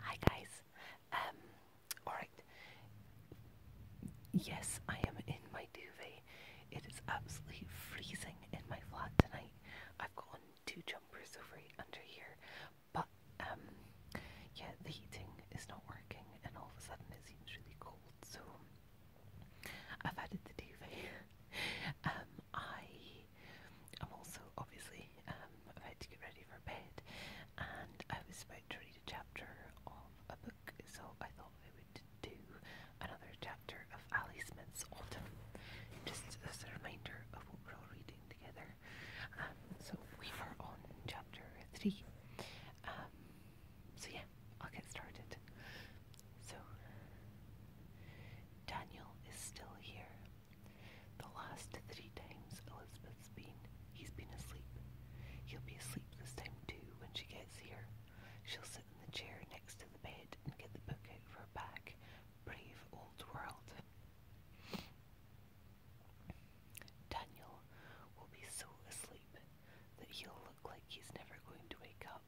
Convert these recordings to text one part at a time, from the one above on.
Hi guys. Um alright. Yes, I am in my duvet. It is absolutely freezing in my flat tonight. I've got on two jumpers over under here. But um yeah, the heating is not working and all of a sudden it seems really cold, so I've added the duvet. um I I'm also obviously um, about to get ready for bed, and I was about to read a chapter of a book, so I thought I would do another chapter of Ali Smith's Autumn, just as a reminder of what we're all reading together. Um, so we are on chapter three. Um, so yeah, I'll get started. So Daniel is still here. The last three times Elizabeth's been, he's been asleep. He'll be asleep this time too when she gets here. She'll sit in the chair next to the bed and get the book out for her back. Brave old world. Daniel will be so asleep that he'll look like he's never going to wake up.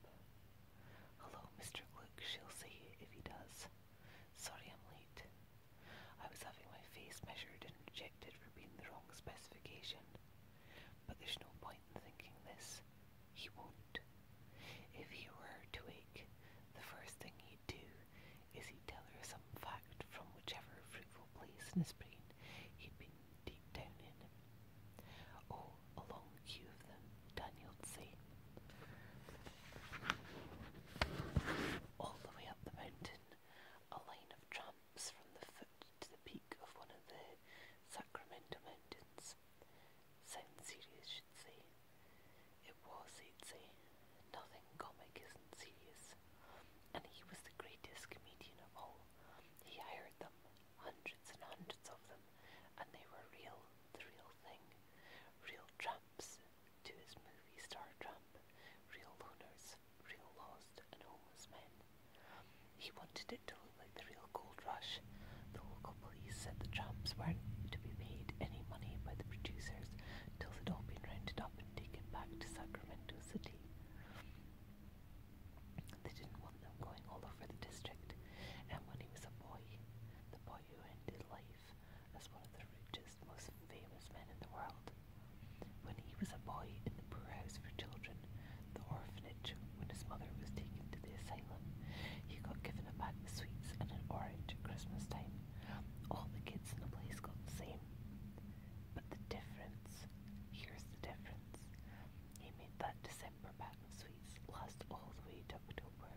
Hello, Mr. Gluck, she'll see if he does. Sorry I'm late. I was having my face measured and rejected for being the wrong specification. But there's no point in thinking this. He won't. If he were to wake, the first thing he'd do is he'd tell her some fact from whichever fruitful place in his brain he'd been deep down in. Oh, a long of them down Yonsei, all the way up the mountain, a line of tramps from the foot to the peak of one of the Sacramento Mountains. Sounds serious, should say. It was, he'd say. Nothing comic isn't serious. And he was the greatest comedian of all. He hired them, hundreds and hundreds of them, and they were real, the real thing. Real tramps, to his movie star tramp, real loners, real lost and homeless men. He wanted it to look like the real gold rush. The local police said the tramps weren't to be paid any money by the producers till they'd all been rounded up and taken back to Sacramento City. They didn't want them going all over the district, and when he was a boy, the boy who ended life as one of the richest, most famous men in the world. When he was a boy in the poor house for children, the orphanage, when his mother was taken to the asylum, he got given a bag of sweets and an orange at Christmas time. All the kids in the place got the same. But the difference, here's the difference. He made that December bag sweets lost all the way to October.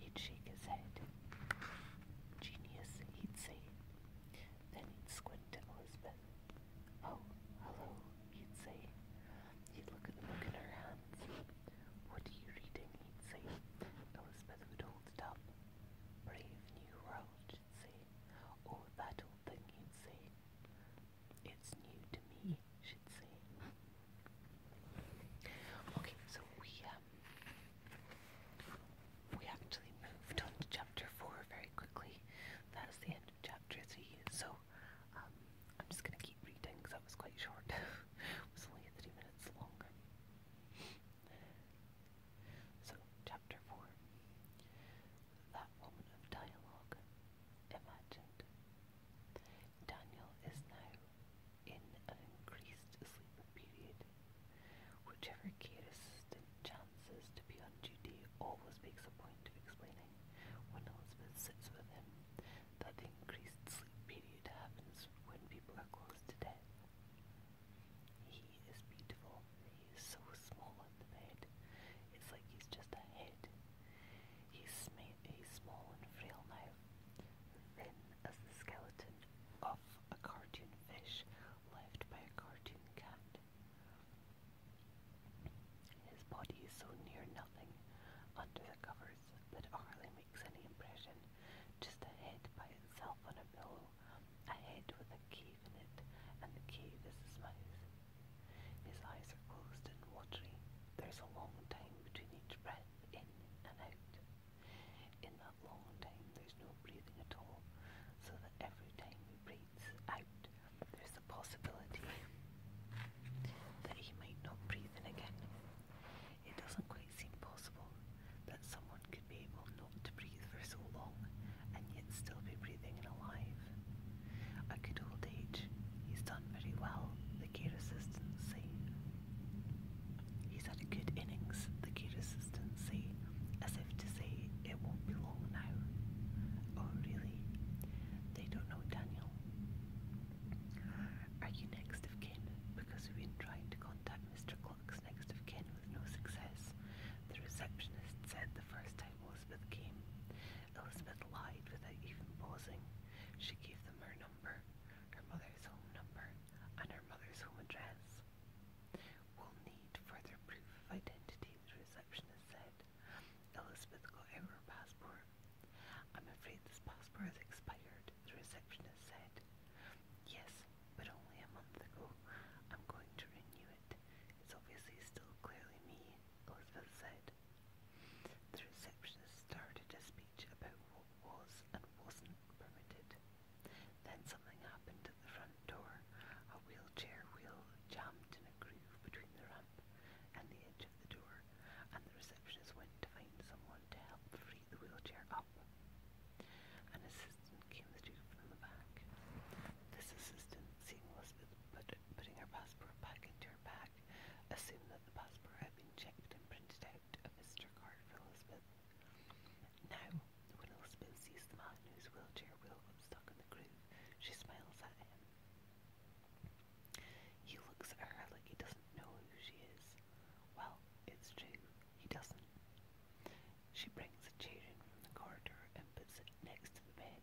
He'd shake his head. Genius, he'd say. Then he'd squint at Elizabeth. Oh, hello, he'd say. He'd look at the book in her hands. What are you reading, he'd say. Elizabeth would hold it up. Brave New World, she'd say. Oh, that old thing, he'd say. It's new to me, should say. Okay, so we um we actually moved on to chapter four very quickly. That's the end of chapter three. So um, I'm just gonna keep reading because that was quite short. it was only three minutes long. So chapter four that moment of dialogue imagined. Daniel is now in an increased sleep period. Whichever care chances to be on duty always makes a point of explaining when Elizabeth sits with him that the increased sleep period happens when people are close to death. He is beautiful, He's so small in the bed. It's like he's just a head. He's, sma- he's small and frail now, thin as the skeleton of a cartoon fish left by a cartoon cat. His body is so near nothing under the covers that hardly makes any impression, just a head by itself on a pillow a head with a cave in it, and the cave is his mouth. His eyes are closed and watery. There's a long time between each breath in and out. In that long time, there's no breathing at all, so that every time he breathes out, there's the possibility that he might not breathe in again. It doesn't quite seem possible that someone could be able not to breathe for so long and yet still be breathing and alive. A good old age, he's done very well, the care assistants say. He's had a good innings, the care assistants say, as if to say it won't be long now. Oh, really? They don't know Daniel. Are you next of Because we've been trying to contact Mr. Clux next of kin with no success. The receptionist said the first time Elizabeth came, Elizabeth lied without even pausing. She gave them her number, her mother's home number, and her mother's home address. We'll need further proof of identity, the receptionist said. Elizabeth got out her passport. I'm afraid this passport has expired, the receptionist said. Yes, but only a month ago. I'm going to renew it. It's obviously still clearly me, Elizabeth said. The receptionist started a speech about what was and wasn't permitted. Then something happened at the front door. A wheelchair wheel jammed in a groove between the ramp and the edge of the door, and the receptionist went to find someone to help free the wheelchair up. An assistant came through from the back. This assistant, seeing Elizabeth putting her passport back into her bag, assumed that the passport had been checked and printed out a visitor card for Elizabeth. Now, when Elizabeth sees the man whose wheelchair wheel got stuck in the groove, she smiles at him. He looks at her like he doesn't know who she is. Well, it's true, he doesn't. She brings a chair in from the corridor and puts it next to the bed.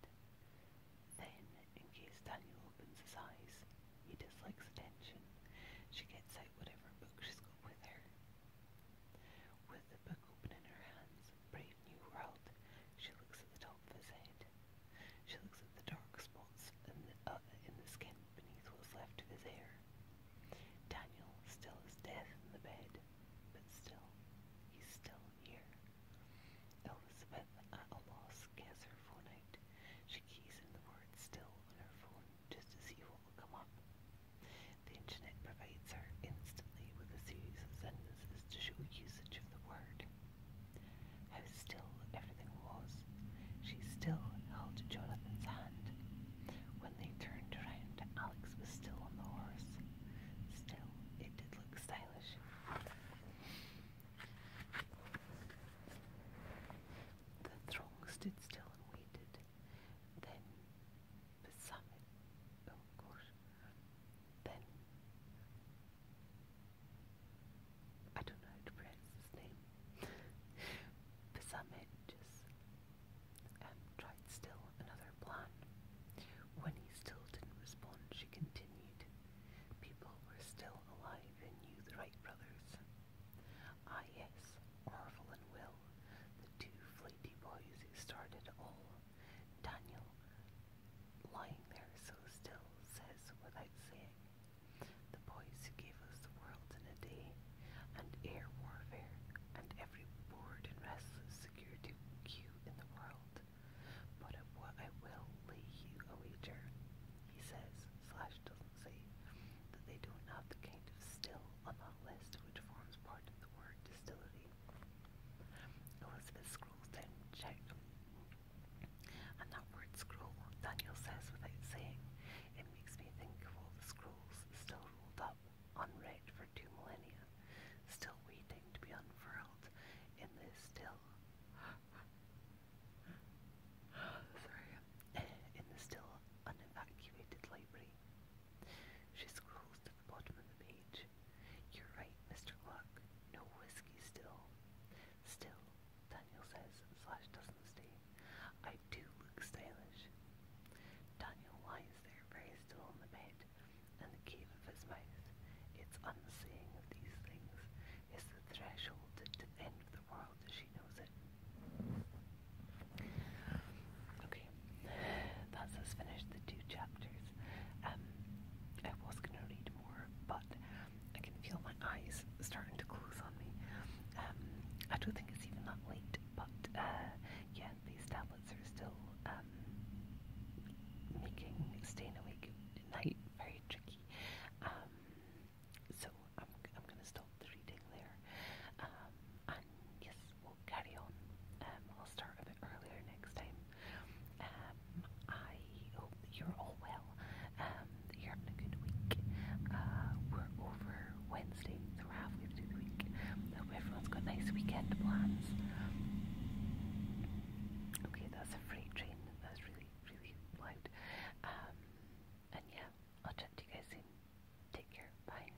Then, in case Daniel opens his eyes, he dislikes attention, she gets out whatever book she's got with her. With the book open in her hands, Brave New World, she looks at the top of his head. She looks at the dark spots holes in the, uh, in the skin beneath what was left of his hair. Daniel still is dead in the bed, but still, he's still here. Elizabeth, at a loss, gets her phone out. She keys in the word still on her phone just to see what will come up. The internet provides her instantly with a series of sentences to show usage of the word how still everything was. She still held Jonathan's hand. When they turned around, Alex was still on the horse. Still, it did look stylish. The throng stood still and waited. Then, Besame, oh gosh, then I don't know how to pronounce his name. Pisametges just um, tried still another plan. When he still didn't respond, she continued. People were still alive and knew the Wright brothers. Ah yes, Orville and Will, the two flighty boys who started all. Daniel lying there so still, says without saying, the boys who gave us the world in a day, and air warfare, and every bored and restless security queue in the world. But at what I will lay you a wager, he says, slash doesn't say, that they don't have the kind of still on that list which forms part of the word distillery. Elizabeth scrolls down and checked and that word scroll, Daniel says without saying, it makes me think of all the scrolls still rolled up, unread for two millennia, still waiting to be unfurled in this still. Sorry. In the still unevacuated library. She scrolls to the bottom of the page, you're right, Mr. Gluck. No whiskey still. Still, Daniel says, Slash doesn't stay. I do look stylish. Daniel lies there very still in the bed, and the cave of his mouth, its unsaying of these things, is the threshold to end of the world as she knows it. Okay, that's us finished the two chapters. Um, I was going to read more, but I can feel my eyes starting to close on me. Um, I don't think it's even that late, but uh, yeah, these tablets are still um, making staying awake at night very tricky. so I'm, I'm going to stop the reading there. and yes, we'll carry on. Um, I'll start a bit earlier next time. Um, I hope you're all well. Um, you're having a good week. Uh, we're over Wednesday, we're halfway through the week. I hope everyone's got nice weekend plans. Okay, that's a freight train. That's really, really loud. and yeah, I'll chat to you guys soon. Take care. Bye.